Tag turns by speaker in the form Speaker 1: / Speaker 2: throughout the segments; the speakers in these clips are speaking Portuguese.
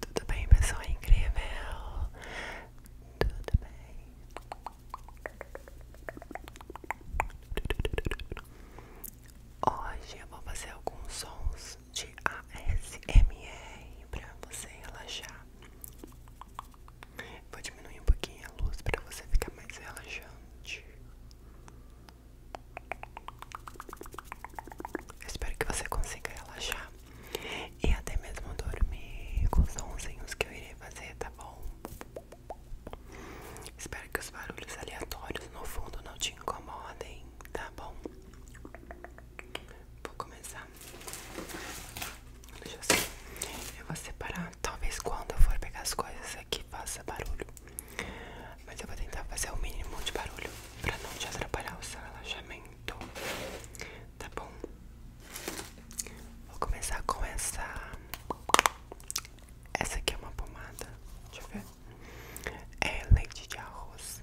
Speaker 1: Tudo bem, pessoa incrível? Tudo bem? Hoje eu vou fazer alguns sons de ASMR pra você relaxar. Vou diminuir um pouquinho a luz pra você ficar mais relaxante. Eu espero que você consiga relaxar e até mesmo dormir com os sonzinhos que eu irei fazer, tá bom? Espero que os barulhos aleatórios no fundo não te incomodem, tá bom? Vou começar. Deixa Eu vou separar. Talvez quando eu for pegar as coisas aqui faça barulho. Mas eu vou tentar fazer o mínimo de barulho pra não te atrapalhar o seu relaxamento. Tá bom? Vou começar com essa. Essa aqui é uma pomada. Deixa eu ver. É leite de arroz.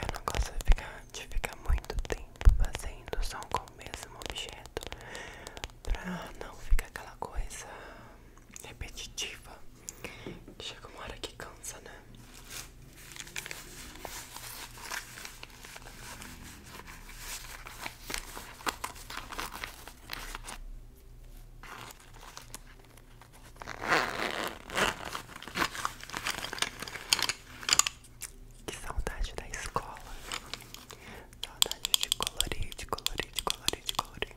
Speaker 1: Eu não gosto de ficar, muito tempo fazendo som com o mesmo objeto Pra não ficar aquela coisa repetitiva Chega uma hora que cansa, né? Que saudade da escola. Saudade de colorir, de colorir, de colorir, de colorir.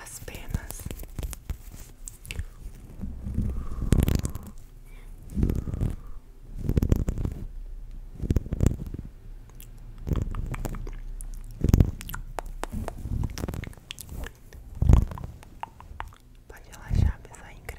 Speaker 1: As penas Pode relaxar, pessoa é incrível.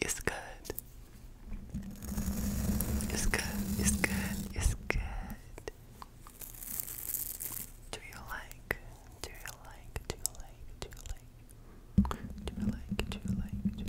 Speaker 1: It's good. It's good. It's good. It's good. Do you like? Do you like? Do you like? Do you like? Do you like? Do you like?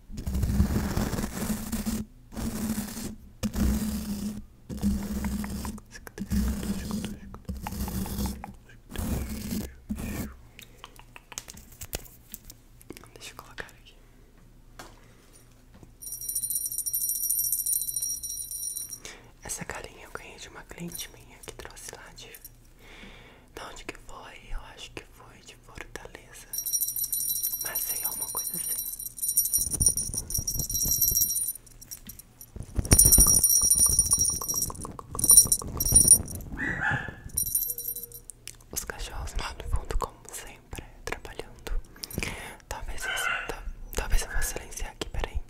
Speaker 1: Deixa eu colocar aqui. Essa carinha eu ganhei de uma cliente minha que trouxe lá de. De onde que foi? Eu acho que foi de Fortaleza, mas sei é uma coisa assim. Os cachorros no fundo, como sempre, trabalhando. Talvez eu, sinta, talvez eu vou silenciar aqui, peraí.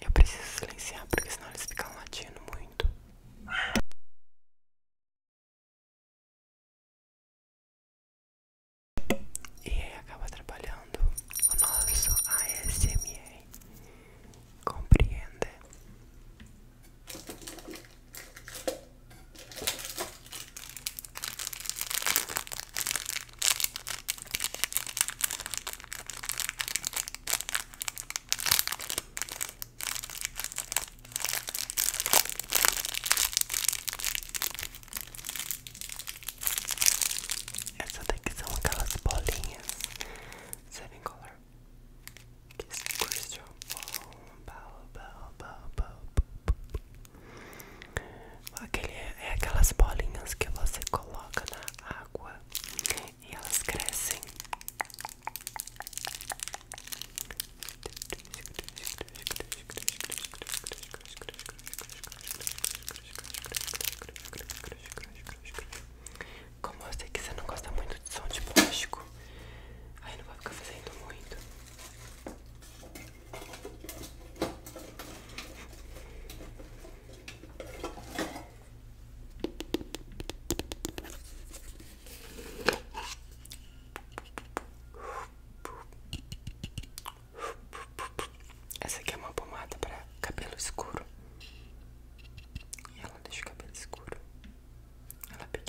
Speaker 2: Eu preciso silenciar porque senão eles ficam latindo muito. E aí acaba trabalhando o nosso ASMR. Compreende?
Speaker 1: Essa daqui são aquelas bolinhas seven color. Kiss crystal ball, ball, ball, ball, ball, ball. Aquele é, é aquelas bolinhas que você coloca na água e elas crescem.
Speaker 2: Como eu sei que você não gosta muito de som de plástico, aí não vai ficar fazendo muito.
Speaker 1: Essa aqui é uma pomada para cabelo escuro. E ela deixa o cabelo escuro. Ela pigmenta.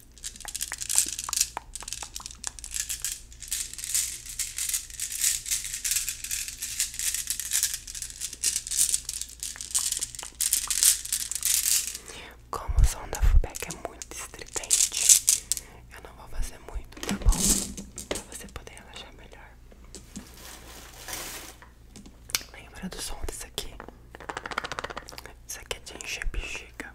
Speaker 1: Como o som da Fubeca é muito estridente, eu não vou fazer muito, tá bom? Pra você poder relaxar melhor. Lembra do som disso aqui? Isso aqui é de encher bexiga.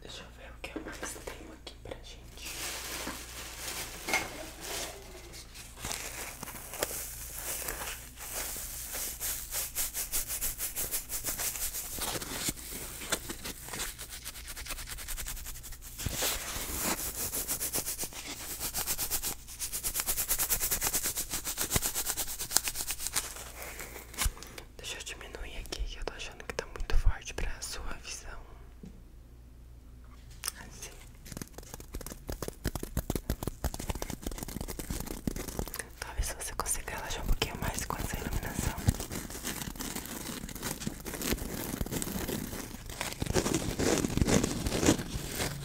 Speaker 1: Deixa eu ver o que mais tenho aqui pra gente. Deixa eu diminuir aqui que eu tô achando que tá muito forte pra sua visão. Assim. Talvez você consiga relaxar um pouquinho mais com essa iluminação.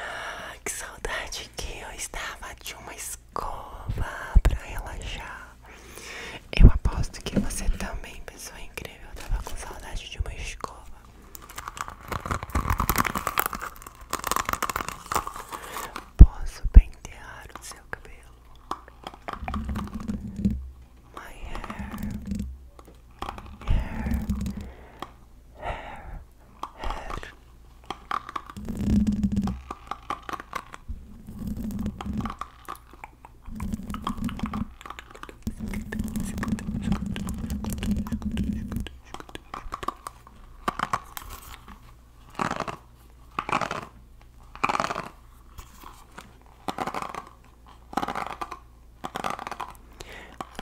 Speaker 1: Ah, que saudade que eu estava de uma escova para relaxar. Eu aposto que você também, pessoa incrível, estava com saudade de uma escova. Posso pentear o seu cabelo? My hair, hair, hair,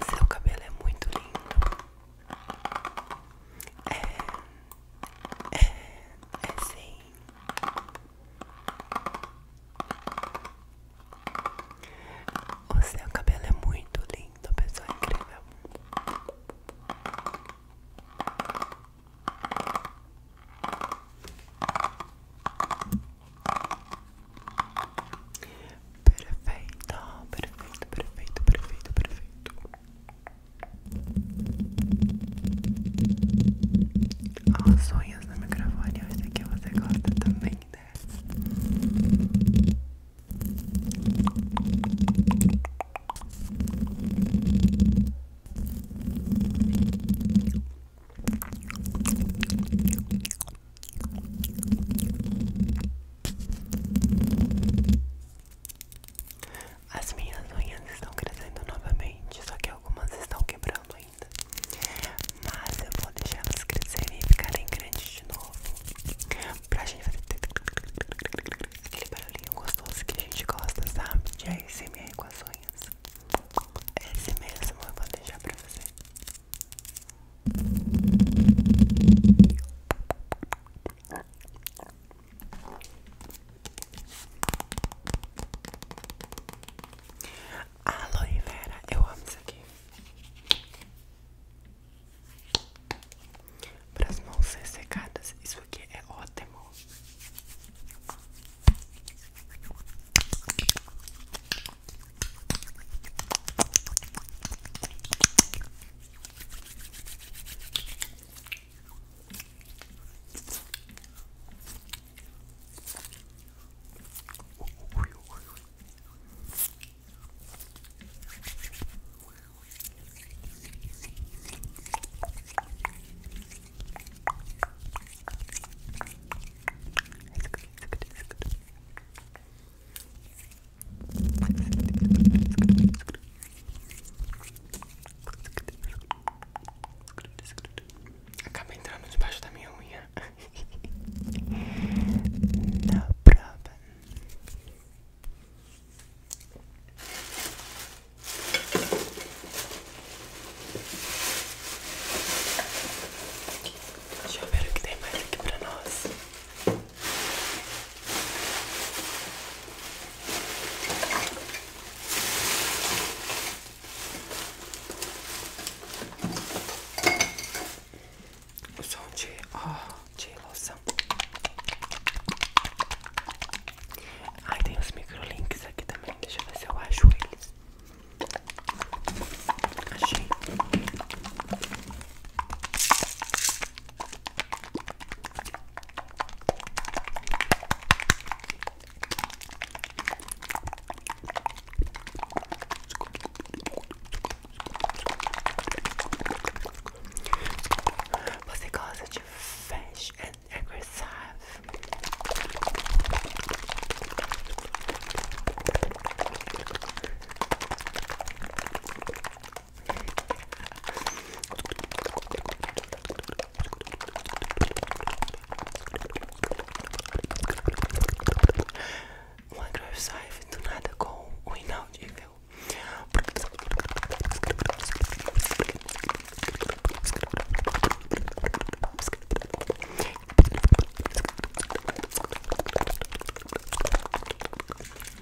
Speaker 1: seu cabelo é muito lindo. É, é, é sim. O seu cabelo é muito lindo, pessoa incrível. Perfeito, perfeito, perfeito, perfeito, perfeito. Ó, ah, sonhos na microfone, esse sei que você gosta também, né? As minhas unhas estão crescendo novamente, só que algumas estão quebrando ainda. Mas eu vou deixar elas crescerem e ficarem grandes de novo. Pra gente fazer Aquele barulhinho gostoso que a gente gosta, sabe? De ASMR com as unhas. É esse mesmo eu vou deixar pra você. Aloe vera, eu amo isso aqui para as mãos ser secadas. Isso aqui é ótimo. Acaba entrando debaixo da minha unha. Na prova. Deixa eu ver o que tem mais aqui pra nós o som de, oh, de loção. Ai, tem os microlinks aqui também. Deixa eu ver se eu acho eles. Achei. Você gosta de Fast and Aggressive? Um agressivo do nada com o inaudível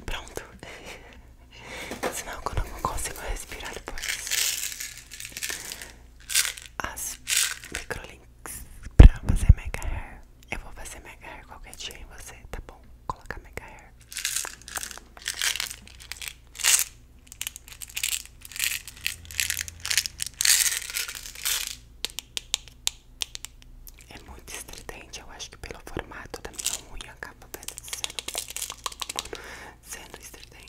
Speaker 1: Pronto. Senão eu não consigo respirar depois. As microlinks pra fazer mega hair. Eu vou fazer mega hair qualquer dia em você, tá bom? Colocar mega hair. É muito estridente, eu acho que pelo formato da minha unha acaba sendo, sendo estridente.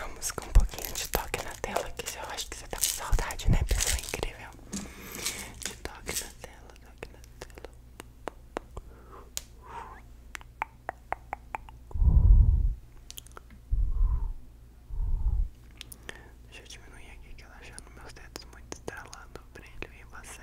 Speaker 1: Vamos com um pouquinho de toque na tela, que eu acho que você tá com saudade, né? Pessoa incrível. De toque na tela, toque na tela. Deixa eu diminuir aqui que ela achando meus dedos muito estralando o brilho e você.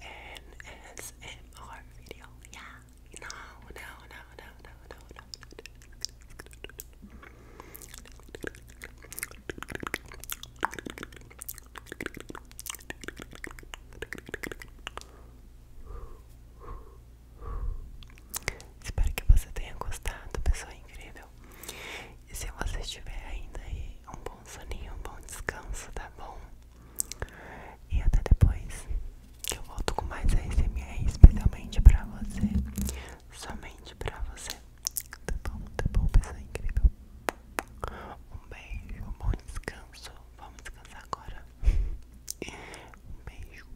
Speaker 1: an ASMR video. Yeah. não, não, não, não, no, no, no. Espero que você tenha gostado, pessoa incrível. E se você estiver ainda aí, um bom soninho, um bom descanso, tá bom? E até depois que eu volto com mais ASMR especialmente pra você. Somente pra você. Tá bom, tá bom, pessoa incrível. Um beijo, um bom descanso. Vamos descansar agora. Um beijo.